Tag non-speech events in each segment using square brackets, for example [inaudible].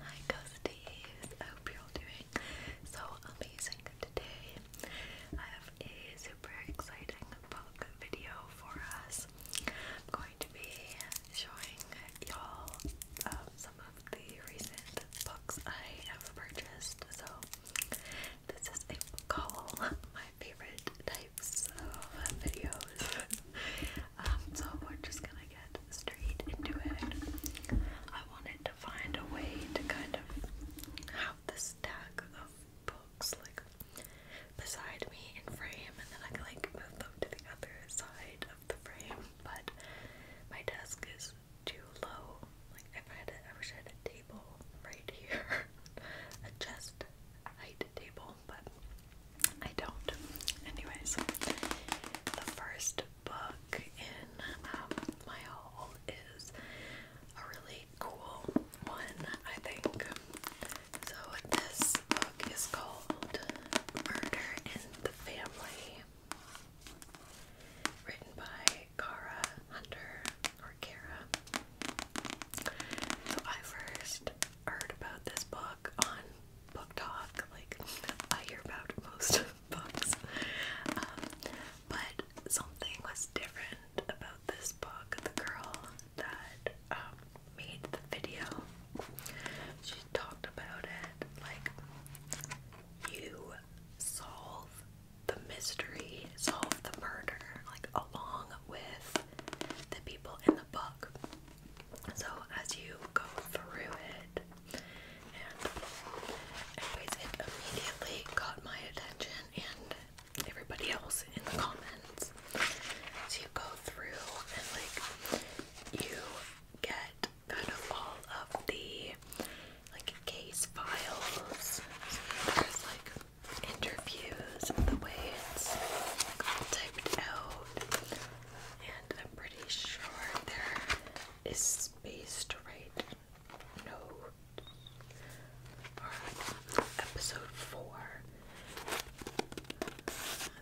Hi Gusties, I hope you're all doing so amazing today. I have a super exciting book video for us. I'm going to be showing y'all um, some of the recent books I have purchased. So this is a call [laughs] my favorite types of videos. [laughs] Um, so we're just gonna I get into it, I wanted to find a way to kind of have the stack of books like beside me in frame, and then I can like move them to the other side of the frame. But my desk is too low. Like if I had, a, I wish I had a table right here, [laughs] a chest height table but I don't. Anyways, the first book in um, my haul is a really cool one, I think. So this book is called Murder in the Family, written by Cara Hunter or Cara. So I first heard about this book on Book Talk. Like, I hear about most [laughs] books. Um, but something was different about this book. The girl that um, made the video, she talked about it like, you solve the mystery, solve the murder, like, along with the people in the book. So as you go through it, and anyways, it immediately got my attention and everybody else in the comments. So you go through and like you get kind of all of the like case files. So there's like interviews, the way it's typed out, and I'm pretty sure there is space to write notes. Alright, episode 4.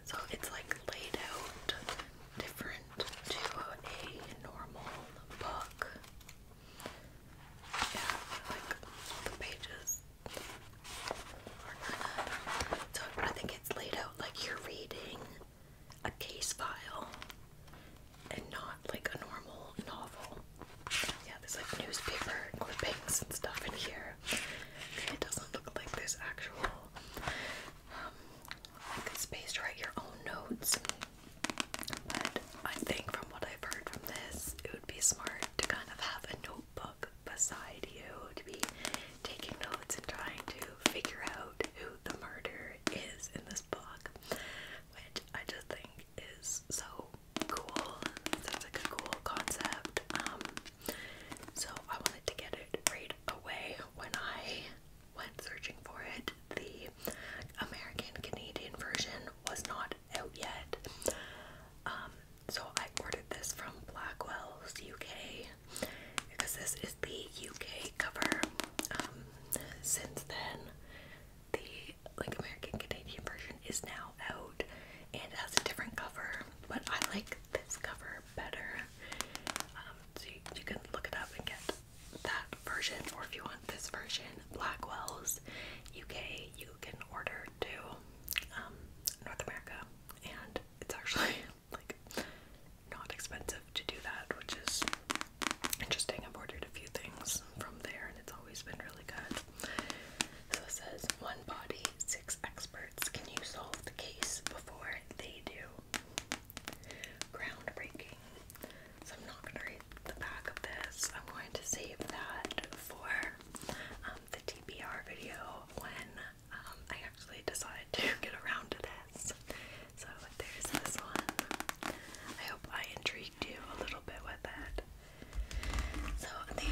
So it's like laid out different to a normal book. Yeah, like the pages so I think it's laid out like you're reading a case file and not like a normal novel. Yeah, there's like newspaper clippings and stuff in here. It doesn't look like there's actual um, like space to write your own notes. But I think from what I've heard from this, it would be smart to kind of have a notebook beside you to be taking notes and trying to figure out who the murderer is in this book, which I just think is so cool. Sounds a cool concept. Um, so I wanted to get it right away when I went searching for it. The American Canadian version was not out yet. Um, so I ordered this from Blackwell's UK because this is the UK cover. Um, since then, the like American Canadian version is now out and has a different cover, but I like this cover better. Um, so you, can look it up and get that version, or if you want this version, Blackwell's UK, you can order to um, North America and it's actually [laughs] like not expensive to do that, which is interesting. I've ordered a few things from there and it's always been really good. So it says one body, six experts. Can you solve the case before they do? Groundbreaking. So I'm not gonna read the back of this. I'm going to save that for um, the TBR video when um, I actually decided to [laughs] get around to this. So there's this one. I hope I intrigued you a little bit with that. So the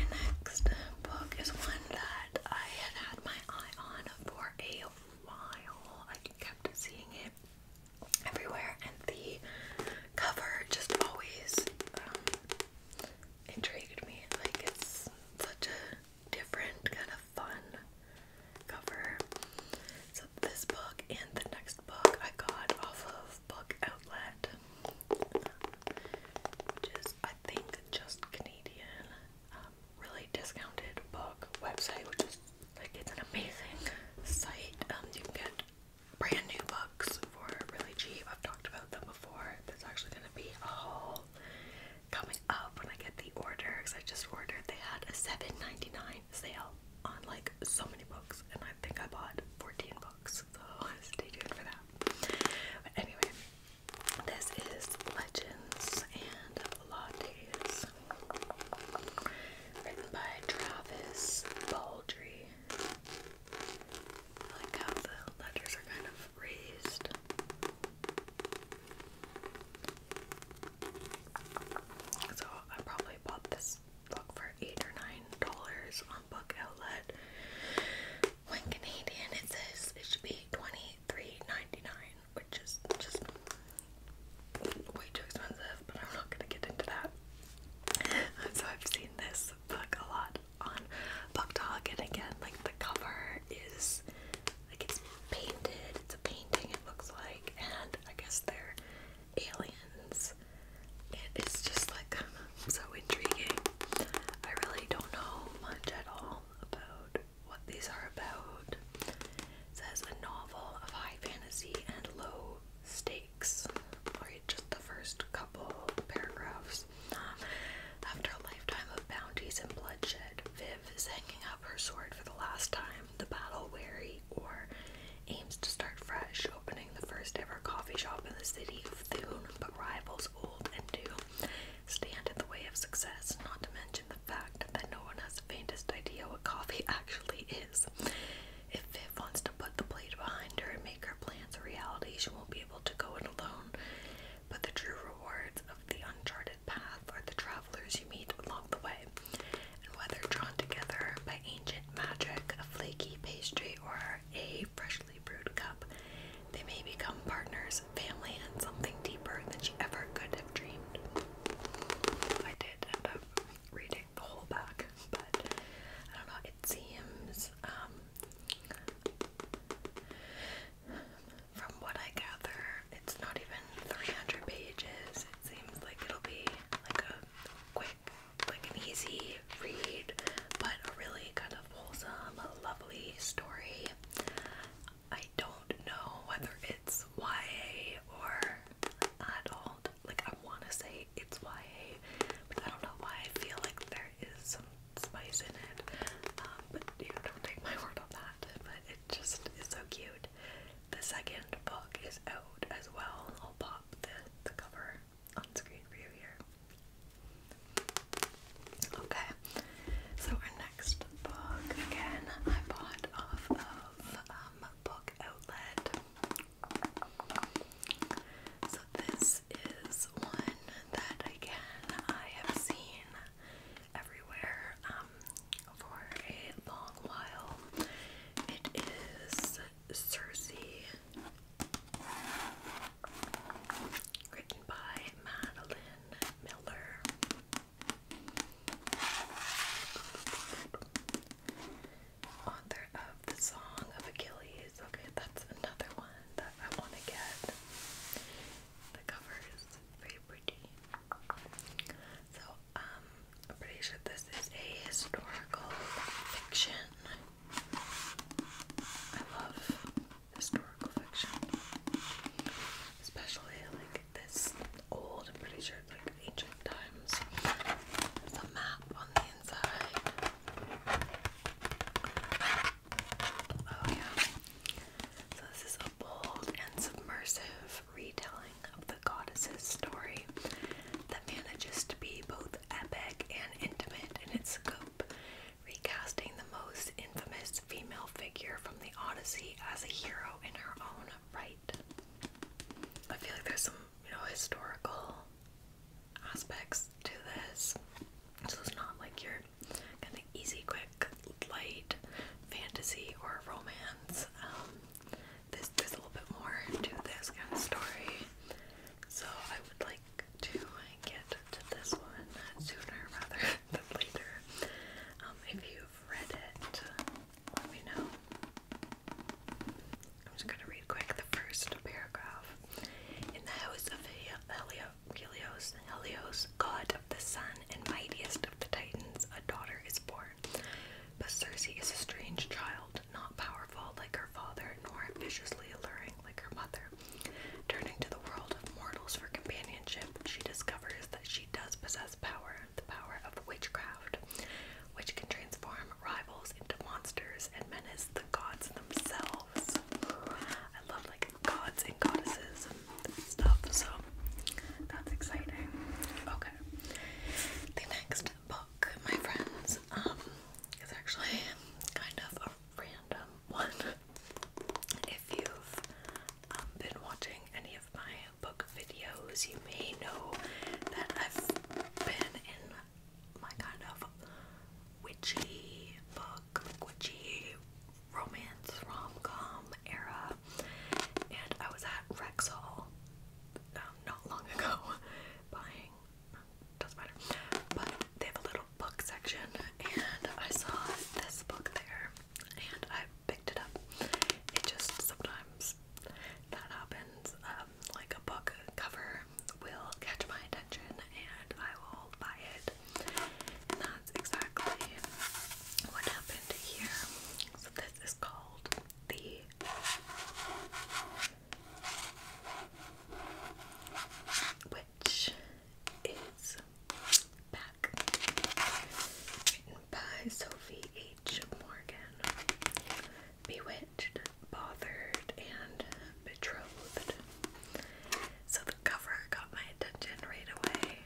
next book is one that I had had my eye on for a while. I kept seeing it everywhere, and the cover just always um, intrigued me. Like it's such a different kind of fun cover. So this book and the next book I got off of Book Outlet, which is I think just Canadian, um, really discounted book website, which is like it's an amazing site. Um, you can get brand new books for really cheap. I've talked about them before. There's actually gonna be a whole coming up when I get the order because I just ordered. They had a $7.99 sale on like so many books, and I think I bought 14 books, so [laughs] stay tuned for that. But anyway, this is Legends and Lattes, written by Travis Baldry. I like how the letters are kind of raised. So I probably bought this book for eight or nine dollars on Book Outlet. When Canadian, it says it should be twenty three ninety nine, which is just way too expensive. But I'm not gonna get into that. [laughs] So I've seen this book a lot on Buck and again, like the cover is like it's painted, it's a painting, it looks like, and I guess they're aliens. It is just like so intriguing. I really don't know much at all about what these are about. says a novel of high fantasy and low stakes. Alright, just the first couple paragraphs. After a lifetime of bounties and bloodshed, Viv is hanging up her sword for the last time, the battle weary, or aims to start fresh, opening the first ever coffee shop in the city of Thune, but rivals old and new stand in the way of success, not to mention the fact that no one has the faintest idea what coffee [laughs] actually is. If Viv wants to put the plate behind her and make her plans a reality, she won't be to go it alone, but the true rewards of the uncharted path are the travelers you meet along the way. And whether drawn together by ancient magic, a flaky pastry, or a freshly brewed cup, they may become partners, family, and something deeper than she ever could have dreamed. I did end up reading the whole back, but I don't know it seems, um, from what I gather, it's not even 300 pages. It seems like it'll be like a quick, like an easy read, but a really kind of wholesome, lovely story. I don't know whether it's YA or adult. Like I want to say it's YA, but I don't know why I feel like there is some spice in it, um, but you don't take my [laughs] word on that. But it just is so cute. The second book is out as well. I'll pop the the cover on screen for you here. Okay, so our next book again I bought off of um, Book Outlet. So this is one that again I have seen everywhere um, for a long while. It is Cersei, written by Madeline Miller. Author of the Song of Achilles. Okay, that's another one that I want to get. The cover is very pretty. So, um, I'm pretty sure this is a historical fiction. I love historical fiction. Especially like this old, I'm pretty sure it's like ancient times. There's map on the inside. Oh, yeah. So, this is a bold and submersive retelling of the goddess's story that manages to be both epic and intimate in its scope, recasting the most infamous female figure from the Odyssey as a hero in her own right. I feel like there's some, you know, historical aspects to this. So it's not like your kind of easy, quick, light fantasy or romance. Um, this there's a little bit more to this kind of story. So I would like to uh, get to this one sooner rather [laughs] than later. Um, if you've read it, let me know. I'm just going to read quick the first paragraph. In the house of Helios, Helios, god of the sun and mightiest of the Titans, a daughter is born. But Circe is a strange child, not powerful like her father, nor viciously alluring like her mother. Turning to the world of mortals for companionship, she discovers that she does possess power, the power of witchcraft, which can transform rivals into monsters and menace the gods themselves. I love like gods and goddesses and stuff, so that's exciting. Okay. The next book, my friends, um, is actually kind of a random one. If you've um, been watching any of my book videos, you may know that I've been in my kind of witchy book, witchy romance rom com era, and I was at Rexall um, not long [laughs] ago buying. Doesn't matter. But they have a little book section, and I saw this book there, and I picked it up. It just sometimes that happens. Um, like a book cover will catch my attention and I will buy it. And that's exactly what happened here. So this is called the Witch is Back. Written by Sophie H. Morgan. Bewitched, Bothered, and Betrothed. So the cover got my attention right away.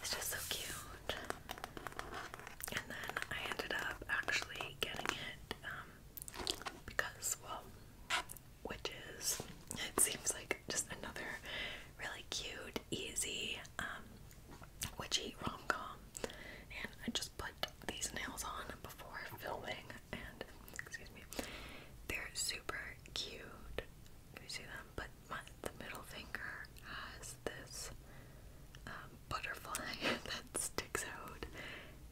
It's just so cute. And then I ended up actually getting it um, because, well, witches, it seems like just another really cute, easy um, witchy rom com and I just put these nails on before filming and excuse me they're super cute you see them but the middle finger has this um, butterfly [laughs] that sticks out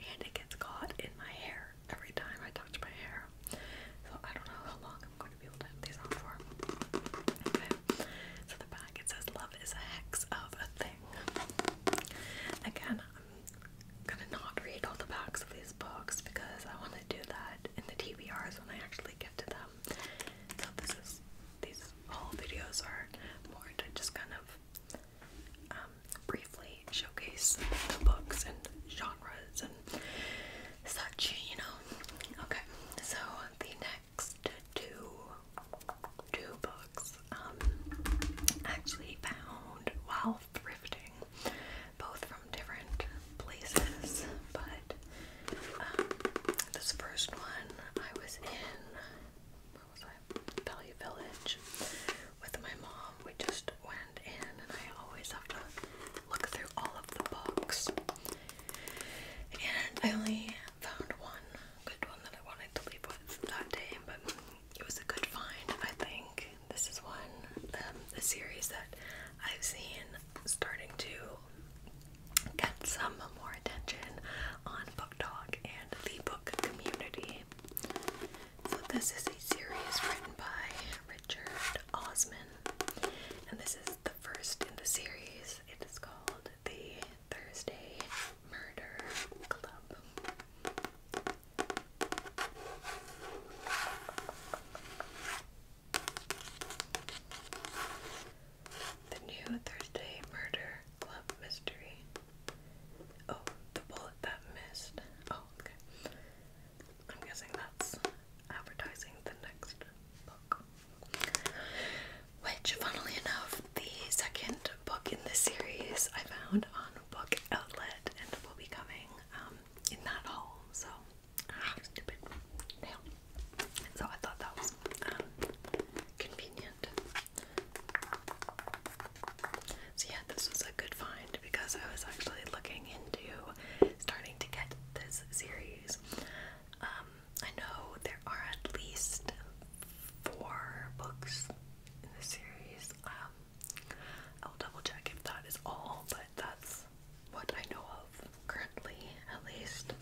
and it gets caught in my hair every time I touch my hair so I don't know how long I'm going to be able to have these on for okay so the back it says love is a hex of a Again, I'm gonna not read all the backs of these books because I want to do that in the TBRs when I actually get to them. So this is these whole videos are more to just kind of um, briefly showcase the books and genres and such, you know. Okay, so the next two two books um actually found while thrifting, both from different places, but um, this first one I was in where Value Village with my mom. We just went in and I always have to look through all of the books. And I only found one good one that I wanted to leave with that day, but it was a good find, I think. This is one, um, a series that I've seen starting to get some more attention on Book and the book community. So, this is a series written by Richard Osman, and this is the first in the series. It is called The Thursday Murder Club. The new Thursday Murder Club mystery. Oh, the bullet that missed. Oh, okay. I'm guessing that's advertising the next book. Which, funnily enough, the second book in the series I found on Book Outlet and will be coming um, in that haul. So, ah, stupid. Damn. So, I thought that was um, convenient. So, yeah, this was a good find because I was actually looking into starting to get this series. Um, I know there are at least four books in the series. Um, I'll double check if that is all, but that's what I know of currently, at least.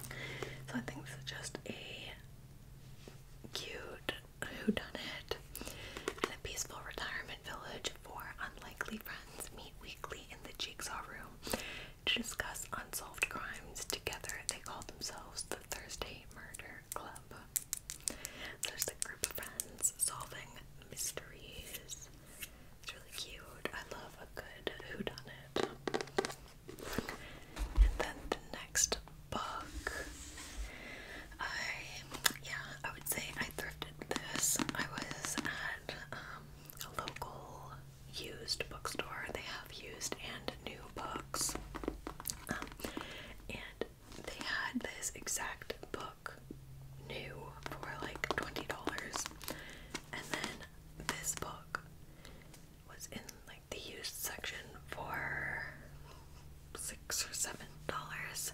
So I think this is just a cute whodunit in a peaceful retirement village. Four unlikely friends meet weekly in the jigsaw room to discuss unsolved crimes together. They call themselves the Thursday Murder Club. There's a group of friends solving mysteries. It's really cute. I love a good whodunit. And then the next book, I yeah, I would say I thrifted this. I was at um, a local used bookstore. They have used and new books. Um, and they had this exact book new for like $20. And then this book was in like the used section for six or seven dollars.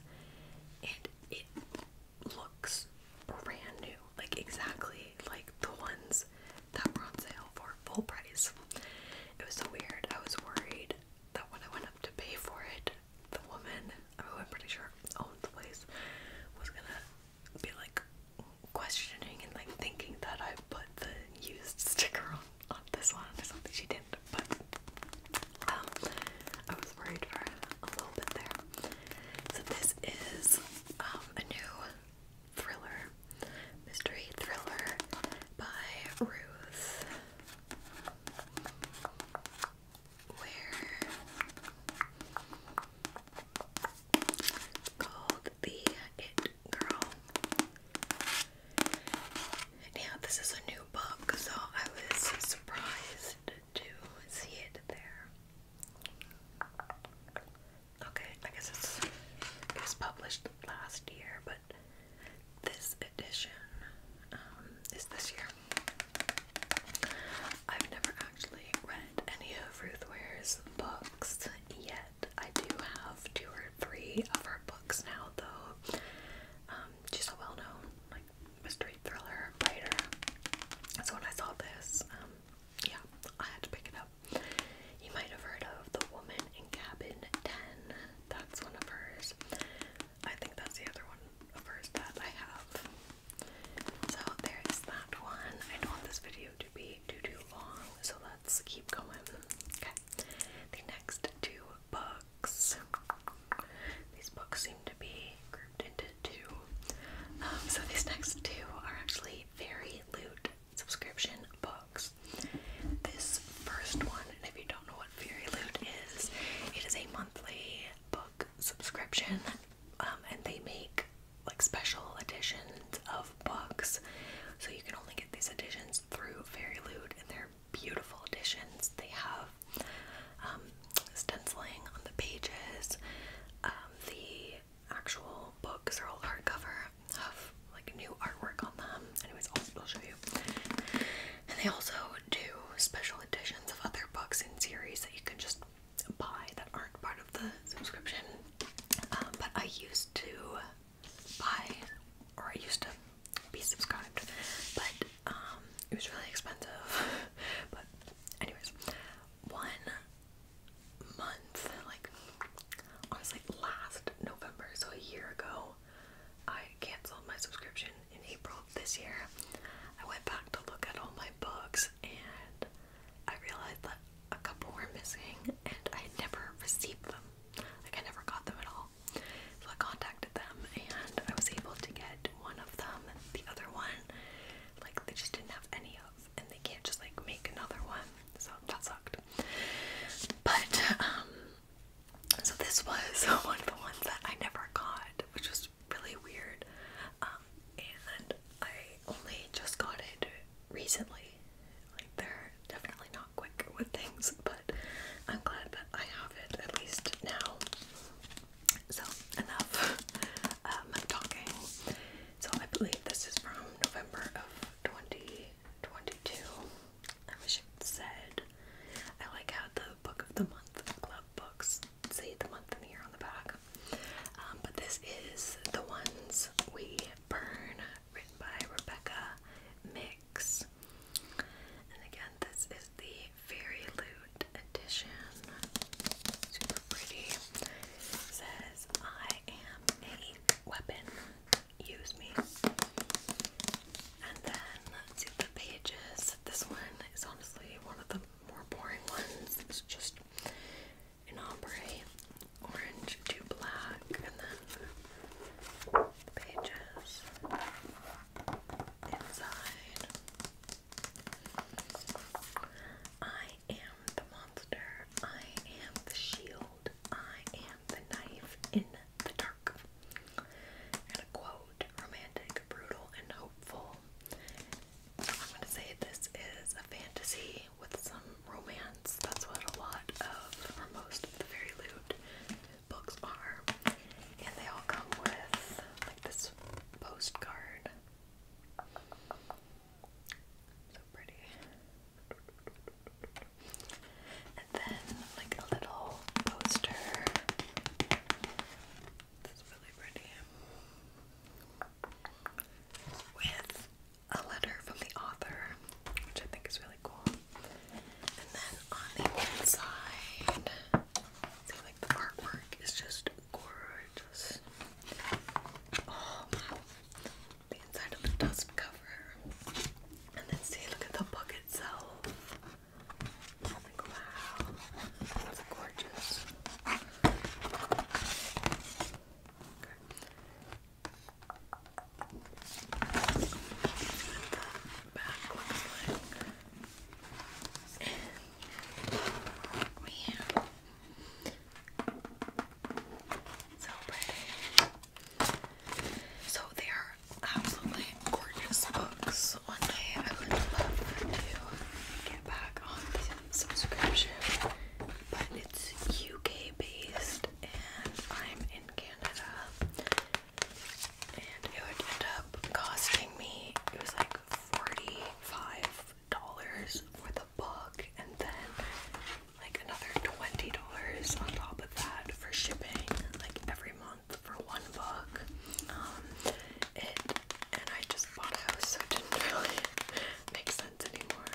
And it looks brand new, like exactly like the ones that were on sale for full price. It was so weird. I was worried that when I went up to pay for it, the woman, who I'm pretty sure owned the place, was gonna be like questioning and like thinking that I put the used sticker on, this one or something. She didn't, but um, I was worried for a little bit there. So this is um, a new thriller, mystery thriller by Ruth, where called the It Girl. Now this is a new book, so I was surprised to see it there. Okay, I guess it's it was published last year, but this edition um, is this year. I've never actually read any of Ruth Ware's books yet. I do have two or three of her books now, though. Um, she's a well-known like mystery thriller writer. So when I saw this, um, yeah, I had to pick it up. You might have heard of The Woman in Cabin 10. That's one of hers. I think that's the other one of hers that I have. So there's that one. I don't want this video to be too too long, so let's keep going. Okay. The next two books. These books seem to be grouped into two. Um, so these next two are actually very loot subscription books. This first one, and if you don't know what Fairy Loot is, it is a monthly book subscription, um, and they make like special editions of books. So you can only get these editions through Fairy Loot, and they're beautiful editions. They have um, stenciling on the pages. Um, the actual books. They're all hardcover. Have like new artwork on them. Anyways, I'll, show you. And they also do special editions of other books and series that you can just buy that aren't part of the subscription. Um, but I used to buy, or I used to be subscribed, but um, it was really expensive. [laughs] but anyways, one months, like I last November, so a year ago, I canceled my subscription in April of this year. I went back to look at all my books and I realized that a couple were missing and I never received them. Like I never got them at all. So I contacted them and I was able to get one of them. The other one, like they just didn't have any of and they can't just like make another one. So that sucked. But um so this was [laughs] one of the ones that I never got, which was really weird. Um and I only just got it recently. Like they're definitely not quick with things, but I'm glad that I have it at least now. So enough [laughs] um, talking. So I believe this is from November of 2022. I wish it said. I like how the book of the month club books say the month and year on the back. Um, but this is the ones we burn, written by Rebecca Mix. And again, this is the Fairy Loot edition. Super pretty. says, I am a weapon, use me. And then let's see the pages. This one is honestly one of the more boring ones. It's just an ombre, orange to black, and then pages inside. I am the monster. I am the shield. I am the knife in the dark. And a quote romantic, brutal, and hopeful. I'm going to say this is a fantasy with some romance. That's what a lot of, or most of the very Loot books are. And they all come with like this postcard. So pretty. And then like a little poster. That's really pretty. With a letter from the author, which I think is really cool. And then on the inside, like the artwork is just gorgeous. Oh wow. The inside of the dust cover. And then see, look at the book itself. wow, that's gorgeous. Okay. we have so pretty. So they are absolutely gorgeous books. One day I would love to get back on the subscription, but it's UK based and I'm in Canada. And it would end up costing me, it was like $45 for book and then like another $20 on top of that for shipping like every month for one book. Um it and I just bought a house so it didn't [laughs] really make sense anymore.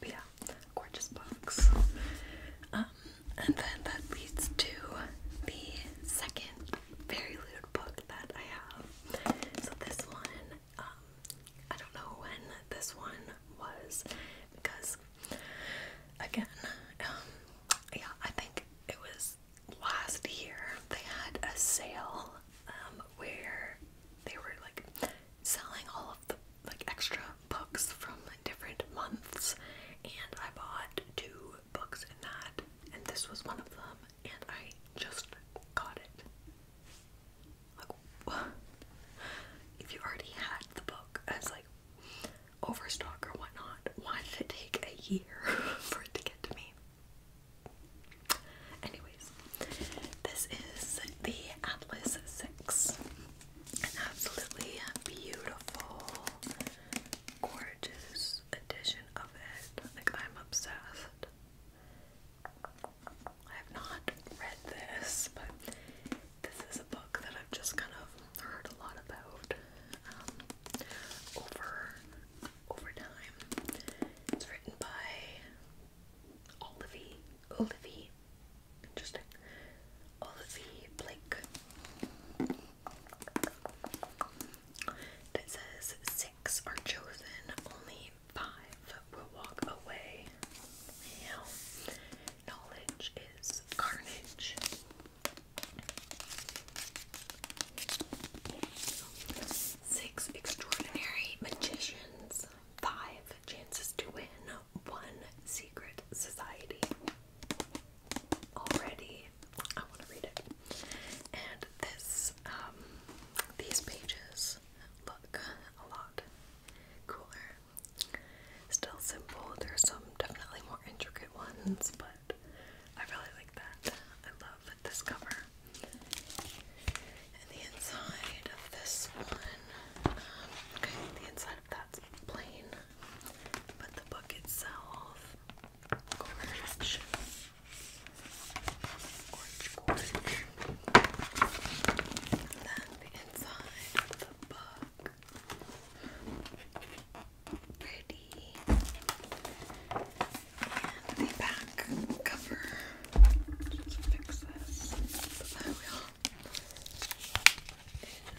But yeah, gorgeous books. Um and then that leads to the second very lewd book that I have. So this one um, I don't know when this one was because, again, um, yeah, I think it was last year they had a sale um, where they were like selling all of the like extra books from different months, and I bought two books in that, and this was one of them and I just got it. Like, [laughs] if you already had the book as like overstock or whatnot, why did it take a year [laughs] for it to get to me? Anyways, this is the Atlas 6. An absolutely beautiful, gorgeous edition of it. Like, I'm obsessed. I have not read this, but this is a book that I've just kind of heard a lot about um, over over time. It's written by Olivie Olivie. Interesting. Olivie Blake. It says six are chosen only five will walk away. knowledge is carnage. Six extraordinary magicians, five chances to win, one secret society. Already, I want to read it. And this, um, these pages look a lot cooler. Still simple. There's some definitely more intricate ones, but I really like that. I love this cover. And the inside of this one, um, okay, the inside of that's plain, but the book itself, gorgeous. Orange orange. inside the book. Pretty. And the back cover. Just fix this. The wheel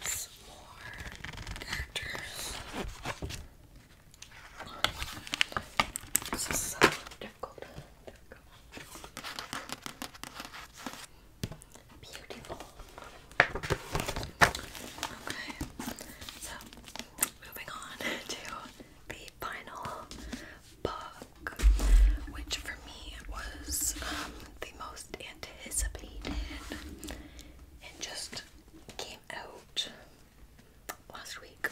is more characters. This is so difficult. Beautiful. Okay, so moving on to the final book, which for me was um, the most anticipated and just came out last week,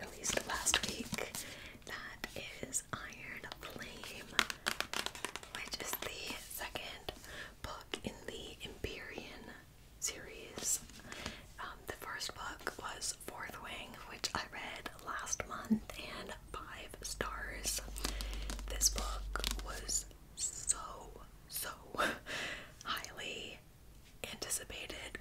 released last week. That is Iron Flame, which is the second book in the Empyrean series. Um, the first book was Fourth Wing, which I read last month, and five stars. This book was so, so [laughs] highly anticipated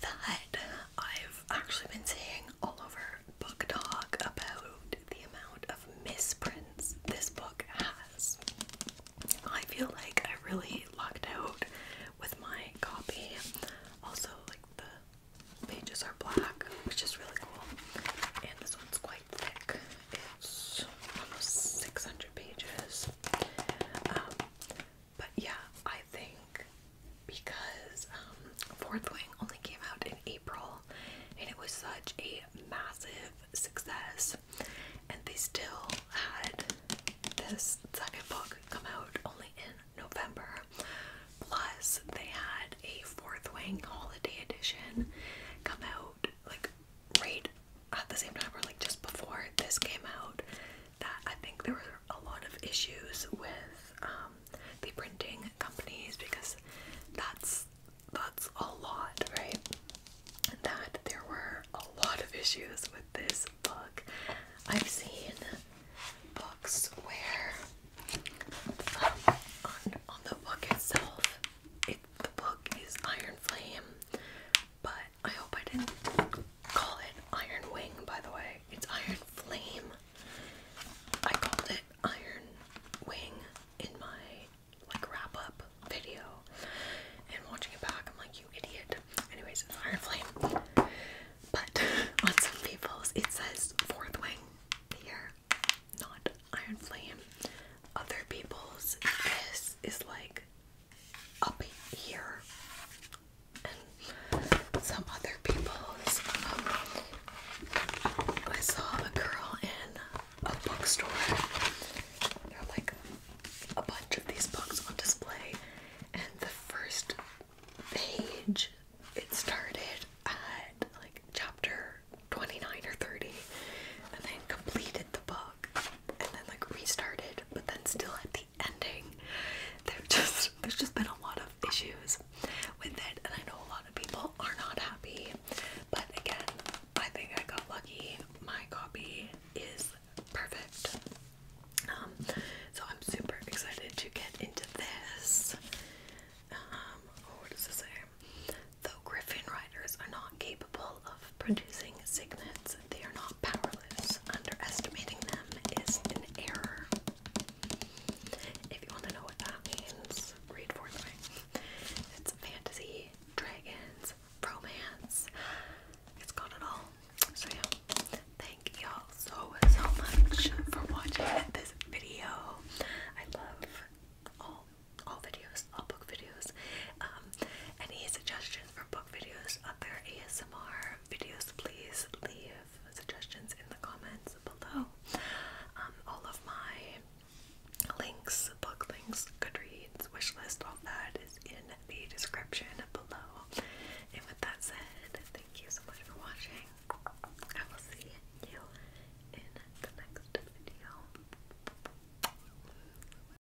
that I've actually been seeing all over book talk about the amount of misprints this book has. I feel like I really lucked out with my copy. Also, like the pages are black, which is really cool. And this one's quite thick. It's almost 600 pages. Um, but yeah, I think because um, Fourth Wing only came out in April and it was such a massive success, and they still had this second book come out only in November. Plus, they had a Fourth Wing holiday edition come out like right at the same time or like just before this came out that I think there were a lot of issues with um, the printing companies because that's that's a lot, right? That there were a lot of issues with this book. I've seen books where um, on the book itself, it, the book is Iron Flame, but I hope I didn't call it Iron Wing, by the way. It's Iron Flame. I called it Iron Wing in my like wrap up video. And watching it back, I'm like, you idiot. Anyways, Iron Flame. But [laughs] on some people's, it says Fourth Wing here, not Iron Flame. Other people's, this is like up here and some other people's. Um, I saw a girl in a bookstore. There like a bunch of these books on display, and the first page it started at like chapter 29 or 30 and then completed the book and then like restarted, but then still at the ending. There just there's just been a lot of issues with it, and I know a lot of people are not happy. But again, I think I got lucky. My copy is perfect. Um, so I'm super excited to get into this. Um, oh, what Though Griffin riders are not capable of producing signets. They are not powerless. Underestimating them is an error. If you want to know what that means, read Fortnite. It's fantasy, dragons, romance. It's got it all. So yeah, thank y'all so so much for watching this video. I love all all videos, all book videos. Um, any suggestions? for book videos, other ASMR videos, please leave suggestions in the comments below. Um, all of my links, book links, Goodreads, wish all that is in the description below. And with that said, thank you so much for watching. I will see you in the next video.